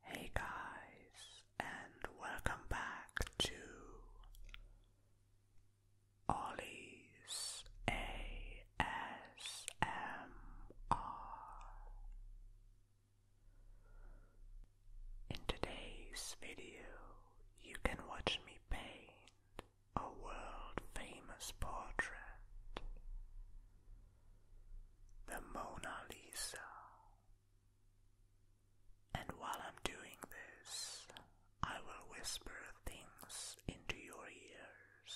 Hey guys, and welcome back to Ollie's ASMR. In today's video, you can watch me paint a world famous portrait, the Mona Lisa. And while I'm doing this, I will whisper things into your ears.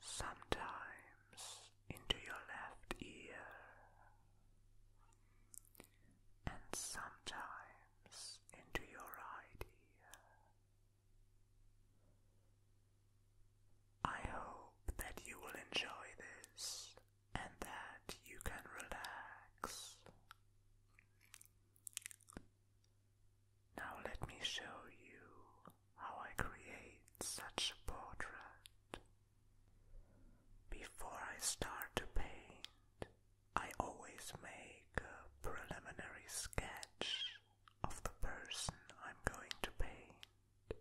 Sometimes into your left ear, and sometimes into your right ear. I hope that you will enjoy this and that you can relax. Now, let me show you how I create such a portrait. Before I start to paint, I always make a preliminary sketch of the person I'm going to paint.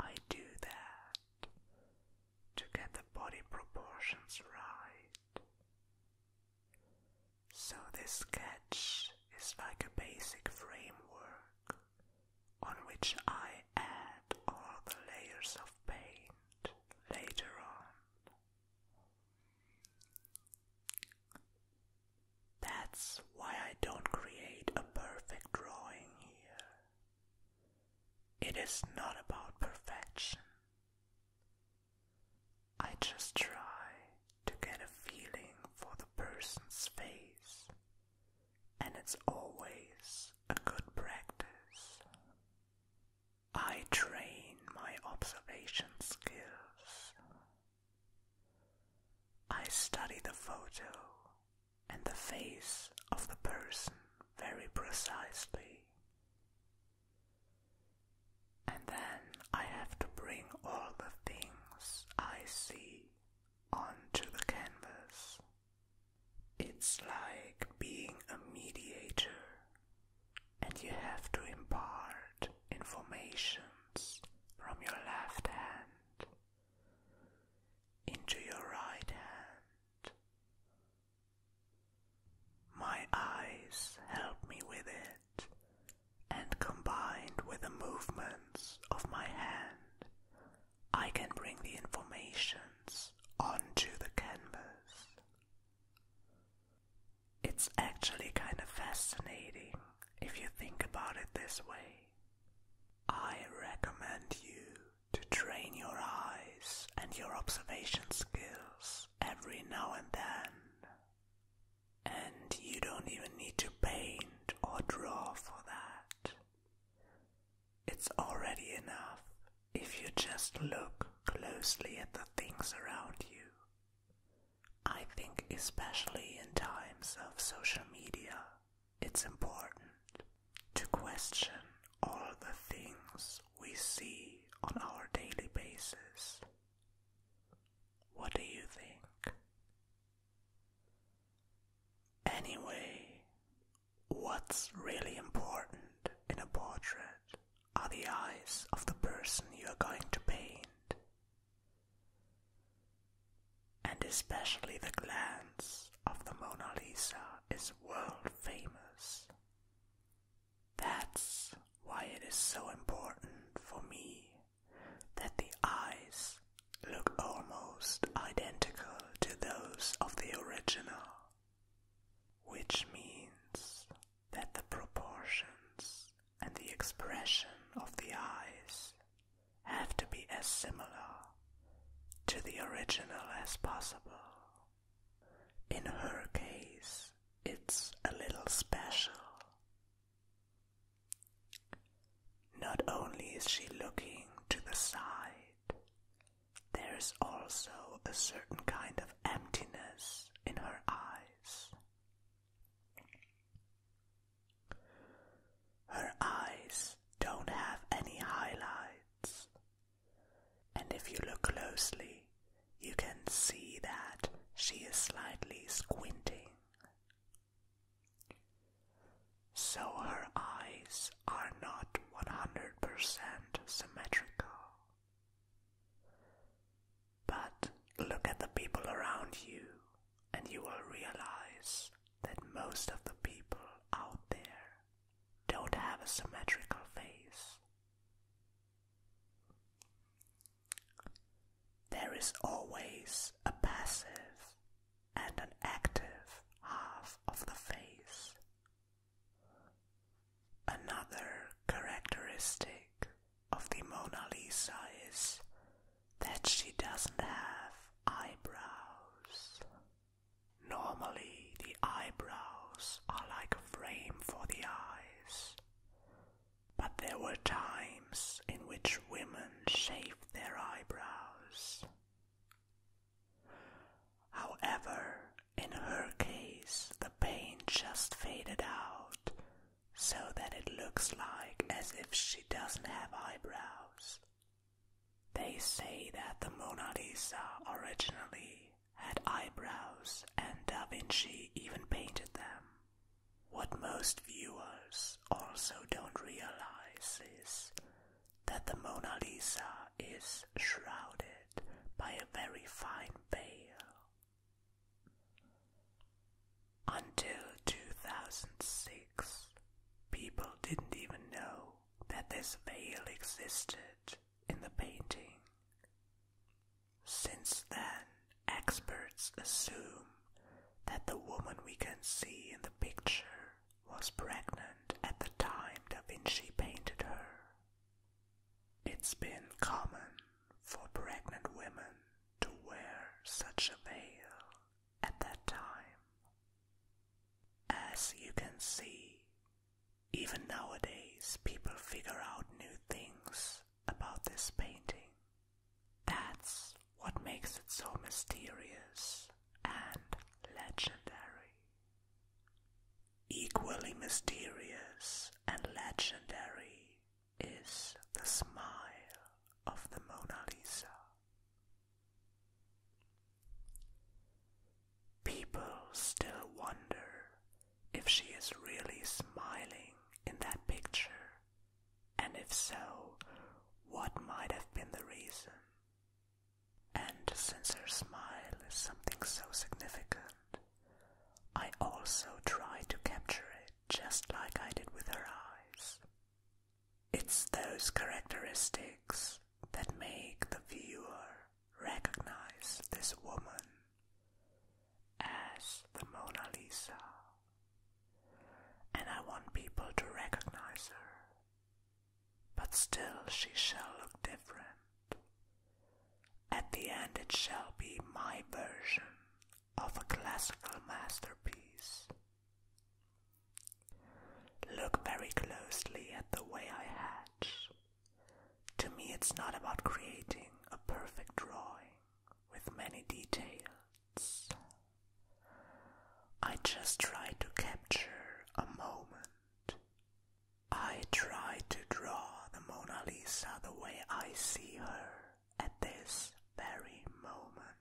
I do that to get the body proportions right. So this sketch is like a basic framework on which I add all the layers of paint later on. That's why I don't create a perfect drawing here. It is not about perfection. I just try to get a feeling for the person's face, and it's always a good practice. I train my observation skills I study the photo and the face of the person very precisely. And then I have to bring all the things I see onto the canvas. It's like being a mediator, and you have to impart informations from your left hand into your right hand. My eyes help me with it, and combined with the movements of my hand, I can bring the informations onto the canvas. It's actually kind of fascinating if you think about it this way, I recommend you to train your eyes and your observation skills every now and then. And you don't even need to paint or draw for that. It's already enough if you just look closely at the things around you. I think, especially in times of social media, it's important to question all the things we see on our daily basis. What do you think? Anyway, what's really important in a portrait are the eyes of the person you are going to paint and especially the glance of the Mona Lisa is world famous. That's why it is so important for me that the eyes look almost identical to those of the original, which means that the proportions and the expression of the eyes have to be as similar to the original as possible. In her case, it's a little special. Not only is she looking to the side, there's also a certain kind of emptiness in her eyes. Her eyes don't have any highlights, and if you look closely, you can see that she is slightly squinting. So her eyes are not 100% symmetrical. But look at the people around you and you will realize that most of the people out there don't have a symmetrical face. There is always a passive and an active half of the face. Another characteristic of the Mona Lisa is that she doesn't have eyebrows. Normally, the eyebrows are like a frame for the eyes, but there were times in which women shaved their eyebrows. However, in her case, the pain just faded out so that it looks like as if she doesn't have eyebrows. They say that the Mona Lisa originally had eyebrows and Da Vinci even painted them. What most viewers also don't realize is that the Mona Lisa is shrouded by a very fine veil. Until 2006, people didn't even know that this veil existed in the painting. Since then, experts assume that the woman we can see in the picture was pregnant at the time Da Vinci painted her. It's been common for pregnant women to wear such a veil at that time. As you can see, even nowadays people figure out new things about this painting. That's what makes it so mysterious and legendary. Equally mysterious and legendary is the smile of the Mona Lisa. People still wonder if she is really smiling in that picture, and if so, what might have been the reason. And since her smile is something so significant, I also try to capture it just like I did with her eyes. It's those characteristics that make the viewer recognize this woman as the Mona Lisa. And I want people to recognize her. But still, she shall look different. At the end, it shall be my version of a classical masterpiece. Look very closely at the way I hatch. To me, it's not about creating a perfect drawing with many details. I just try to capture a moment. I try to draw the Mona Lisa the way I see her at this very moment.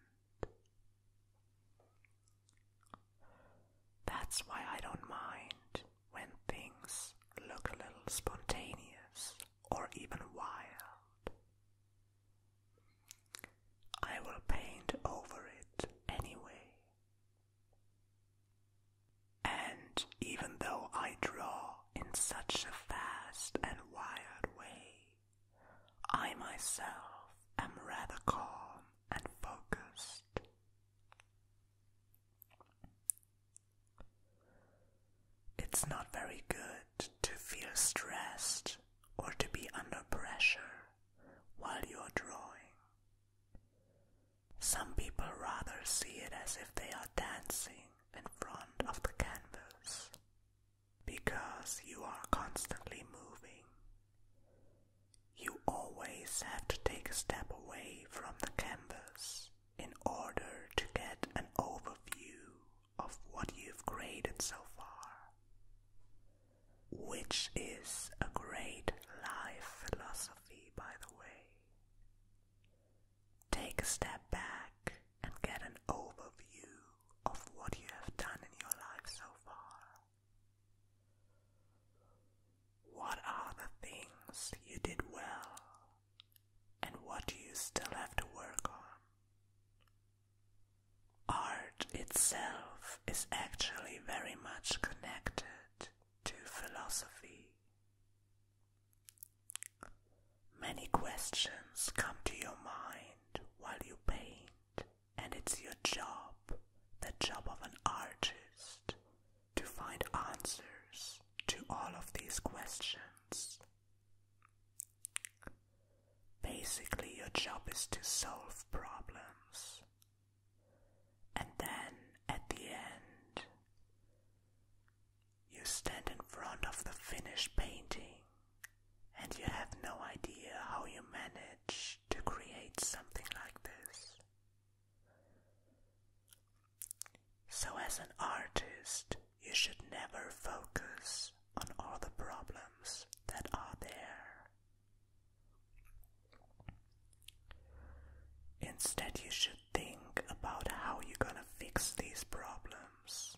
That's why I don't mind when things look a little spontaneous or even wild. I will paint over it anyway. And even though I draw in such a fast and wild way, I myself am rather calm and focused. It's not very good to feel stressed or to be under pressure while you're drawing. Some people rather see it as if they are dancing in front of the canvas because you are constantly moving. You always have to take a step away from the canvas in order to get an overview of what you've created so far, which is a great life philosophy, by the way. Take a step back and get an overview of what you have done in your life so far. What are the things you did well and what do you still have to work on? Art itself is actually very much connected to philosophy. Many questions come to your mind while you paint and it's your job, the job of an artist, to find answers to all of these questions. Basically, your job is to solve problems. And then, at the end, you stand in front of the finished painting and you have no idea how you managed to create something like this. So, as an artist, you should never focus on all the problems that are there. Instead, you should think about how you're gonna fix these problems.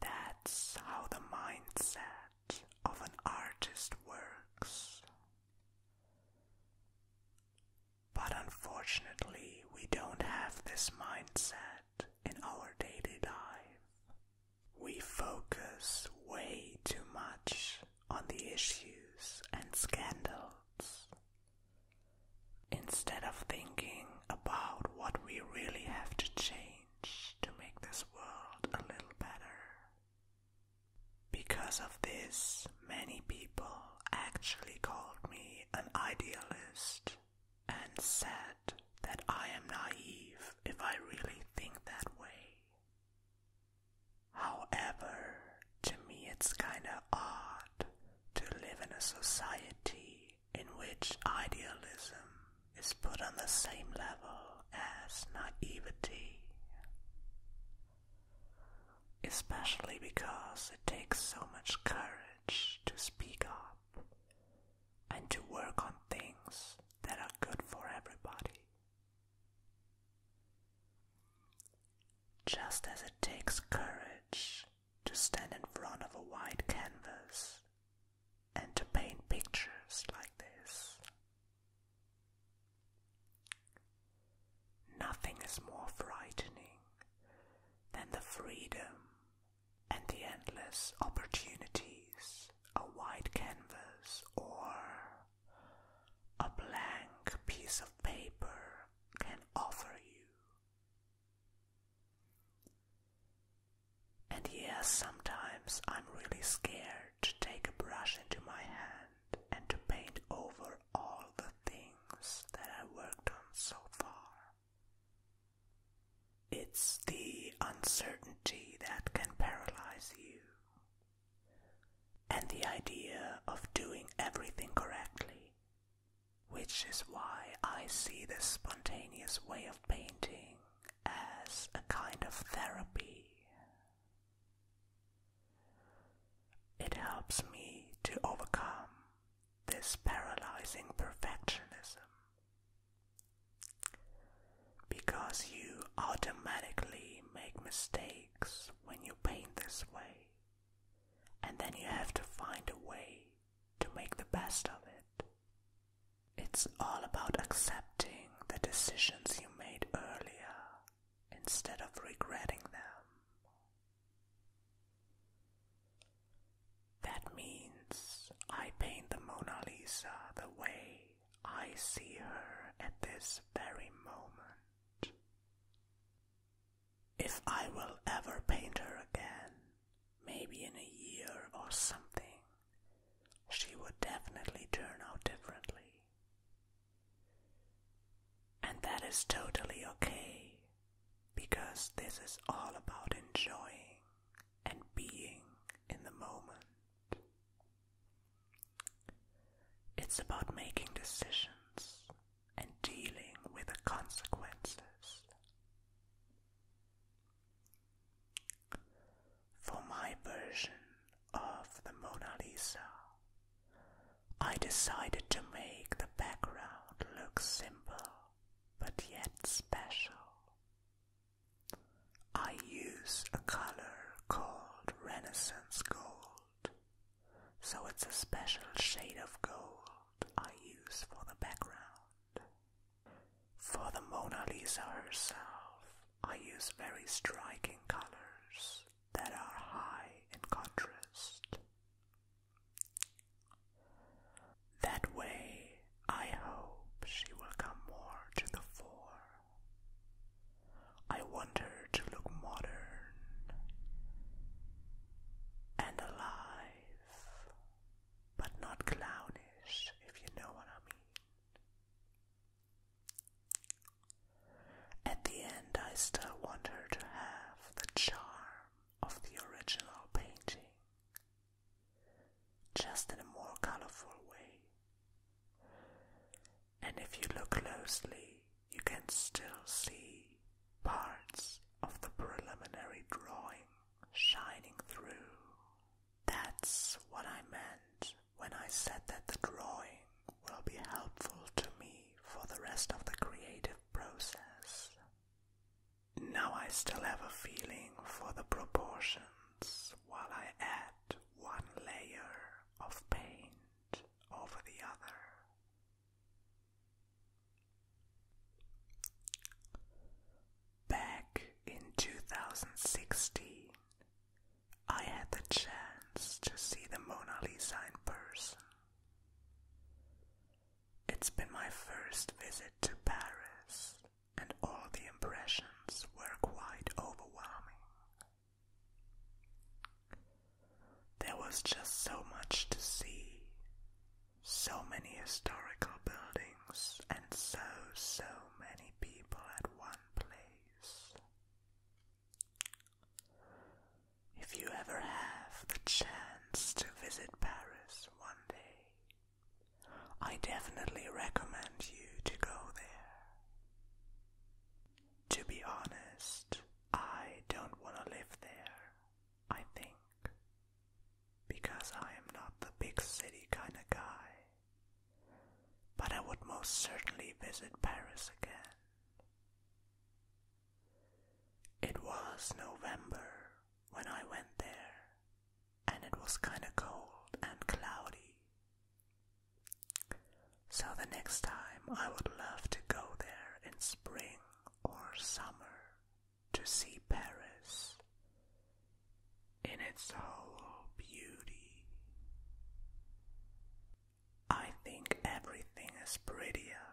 That's how the mindset of an artist works. But unfortunately, we don't have this mindset in our daily life. We focus way too much on the issues and scandals instead of thinking about what we really have to change to make this world a little better. Because of this, many people actually called me an idealist and said that I am naive if I really think that way. However, to me it's kinda odd to live in a society in which idealism is put on the same level as naivety, especially because it takes so much courage to speak up and to work on things that are good for everybody. Just as it takes courage to stand in front of a white canvas and to paint pictures like this. Nothing is more frightening than the freedom and the endless opportunities a white canvas or a blank piece of paper can offer you. And yes, sometimes I'm really scared to take a brush into my hand and to paint over all the things that I worked on so far. It's the uncertainty that can paralyze you, and the idea of doing everything correctly, which is why I see this spontaneous way of painting as a kind of therapy. It helps me to overcome this paralyzing perfectionism because you automatically make mistakes when you paint this way, and then you have to find a way to make the best of it. It's all about accepting the decisions you made earlier instead of regretting them. That means I paint the Mona Lisa the way I see her at this very moment. If I will ever paint her again, maybe in a year or something, she would definitely turn out differently. And that is totally okay, because this is all about enjoying and being in the moment. It's about making decisions and dealing with the consequences. For my version of the Mona Lisa, I decided to make the background look simple but yet special. I use a color called Renaissance Gold, so it's a special shade of gold I use for the background. For the Mona Lisa herself, I use very striking colors that are high in contrast. That way, I hope she will come more to the fore. I want her to look modern and alive, but not clownish, if you know what I mean. At the end, I still want her to have the charm of the original painting, just in a more colorful way. And if you look closely, you can still see parts of the preliminary drawing shining through. That's what I meant when I said that the drawing will be helpful to me for the rest of the creative process. Now I still have a feeling for the proportions while I add one layer of paint over the other. Back in 2016, I had the chance to see the Mona Lisa in person. It's been my first visit to Paris, and all the impressions were quite overwhelming. There was just so much to see, so many historical buildings, and so, so many people at one place. If you ever have the chance to visit Paris one day, I definitely recommend you to go there. To be honest, I don't want to live there, I think, because I am not the big city kind of guy but I would most certainly visit Paris again. It was November when I went there, and it was kinda cold and cloudy. So the next time I would love to go there in spring or summer to see Paris in its whole beauty. I think everything is prettier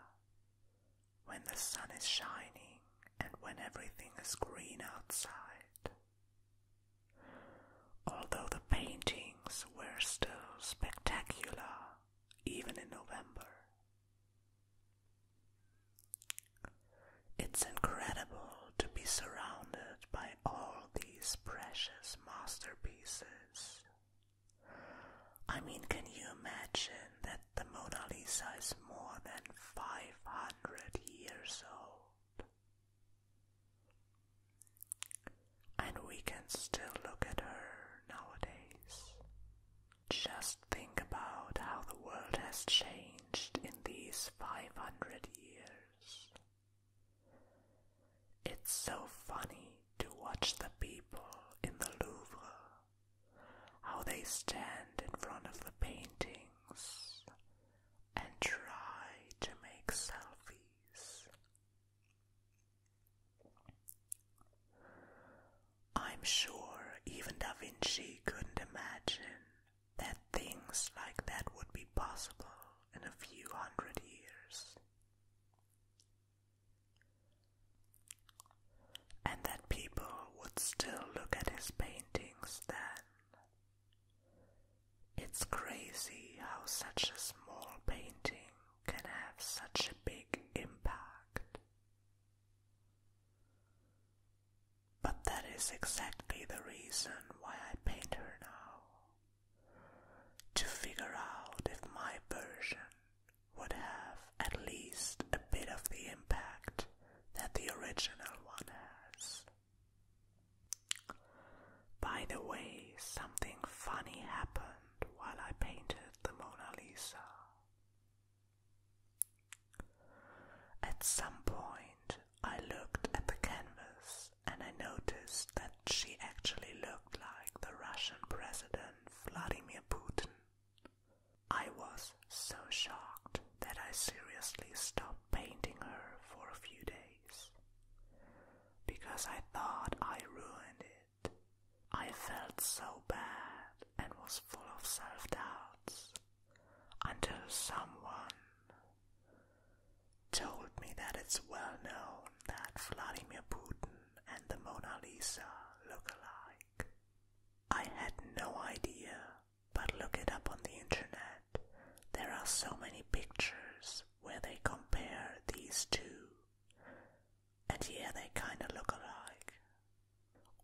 when the sun is shining and when everything is green outside. Although the paintings were still spectacular even in November. It's incredible to be surrounded by all these precious masterpieces. I mean, can you imagine that the Mona Lisa is more than 500 years old? And we can still look at her nowadays. Just think about how the world has changed in these 500 years. It's so funny to watch the people in the Louvre, how they stand in front of the paintings and try to make selfies. I'm sure even Da Vinci couldn't imagine that things like that would be possible in a few hundred years. And that people would still look at his paintings then. It's crazy how such a small painting can have such a big impact. But that is exactly the reason why I paint her now. To figure out if my version would have at least a bit of the impact that the original one has. By the way, something funny happened while I painted the Mona Lisa. At some point, I looked at the canvas and I noticed that she actually looked like the Russian President Vladimir Putin. I was so shocked that I seriously stopped painting her for a few days because I thought I ruined it. I felt so bad and was full of self doubts until someone, told me that it's well known that Vladimir Putin and the Mona Lisa look alike. I had no idea, but look it up on the internet. There are so many pictures where they compare these two, and yeah, they kinda look alike.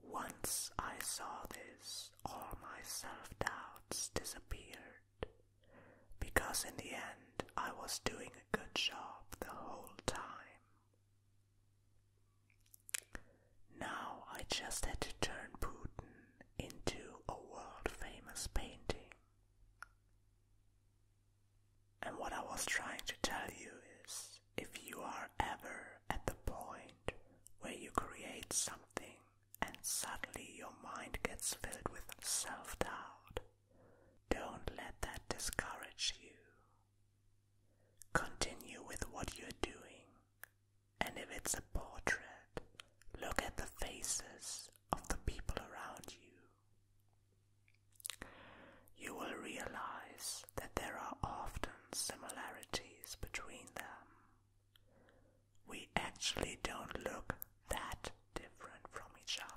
Once I saw this, all my self doubts disappeared because in the end I was doing a good job the whole time. Now I just had to turn Putin into a world famous painting. And what I was trying to tell you is if you are ever at the point where you create something and suddenly your mind gets filled with self doubt. Don't let that discourage you. Continue with what you're doing, and if it's a portrait, look at the faces of the people around you. You will realize that there are often similarities between them we actually don't look that different from each other.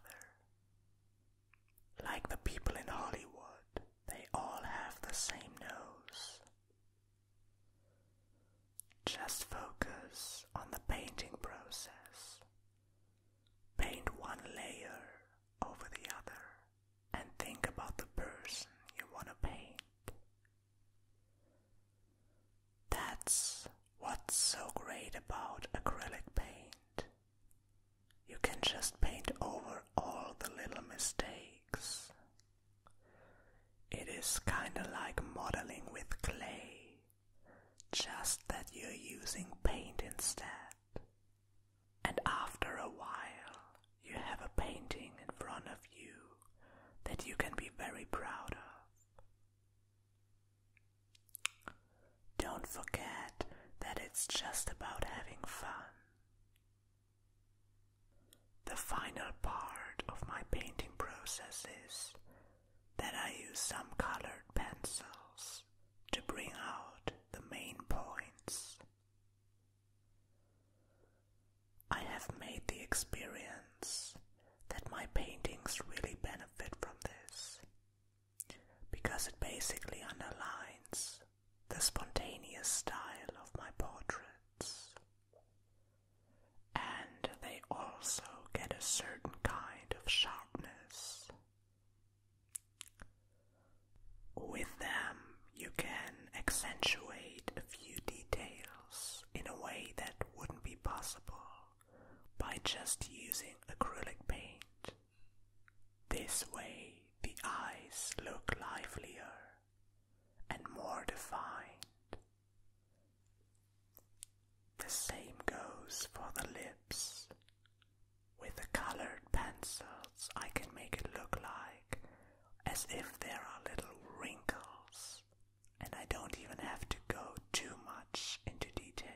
Like the people in Hollywood, they all have the same nose. Just focus on the painting process. Paint one layer over the other and think about the person you want to paint that's what's so great about acrylic paint. You can just paint over all the little mistakes. It is kinda like modeling with clay, just that you're using paint instead. And after a while, you have a painting in front of you that you can be very proud of. Don't forget that it's just about having fun. The final part of my painting process is that I use some colored pencils to bring out the main points. I have made the experience that my paintings really benefit from this because it basically underlines the spontaneous style of my portraits. And they also get a certain kind of sharpness. With them, you can accentuate a few details in a way that wouldn't be possible by just using acrylic paint. This way, the eyes look livelier and more defined. The same goes for the lips. With the colored pencils, I can make it look like as if there are little wrinkles and I don't even have to go too much into detail.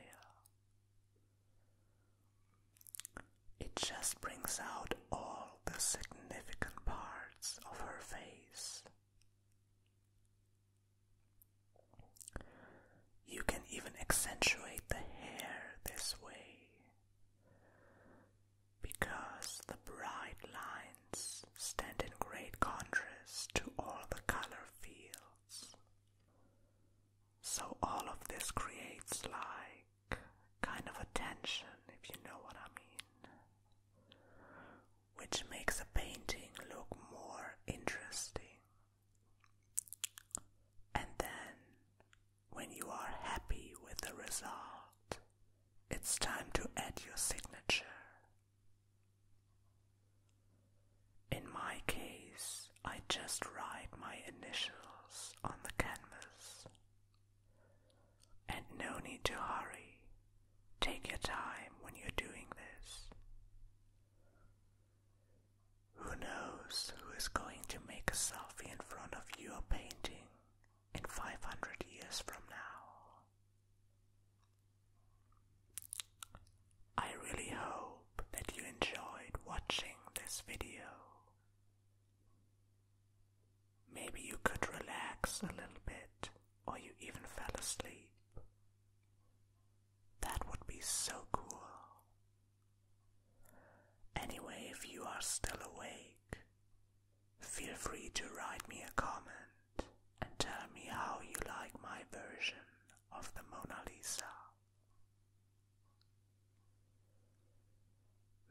It just brings out all the significant parts of her face. You can even accentuate the hair this way because the bright lines stand in great contrast to all the color fields. So all of this creates like kind of a tension, if you know what I mean, which makes a painting look more interesting. And then, when you are happy with the result, it's time to add your signature in my case, I just write my initials on the canvas. And no need to hurry. Take your time when you're doing this. Who knows who is going to make a selfie in front of your painting in 500 years from now? I really hope that you enjoyed watching this video. Maybe you could relax a little bit, or you even fell asleep. That would be so cool. Anyway, if you are still awake, feel free to write me a comment and tell me how you like my version of the Mona Lisa.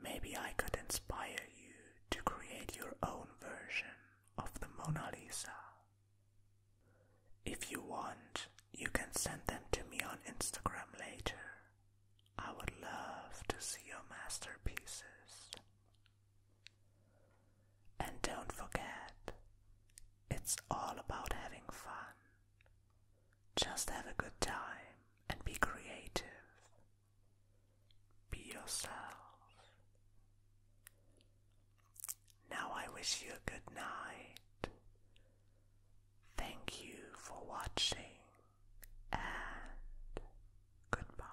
Maybe I could inspire you to create your own version of the Mona Lisa. If you want, you can send them to me on Instagram later. I would love to see your masterpieces. And don't forget, it's all about having fun. Just have a good time and be creative. Be yourself. Now I wish you a good night. Thank you for watching and goodbye.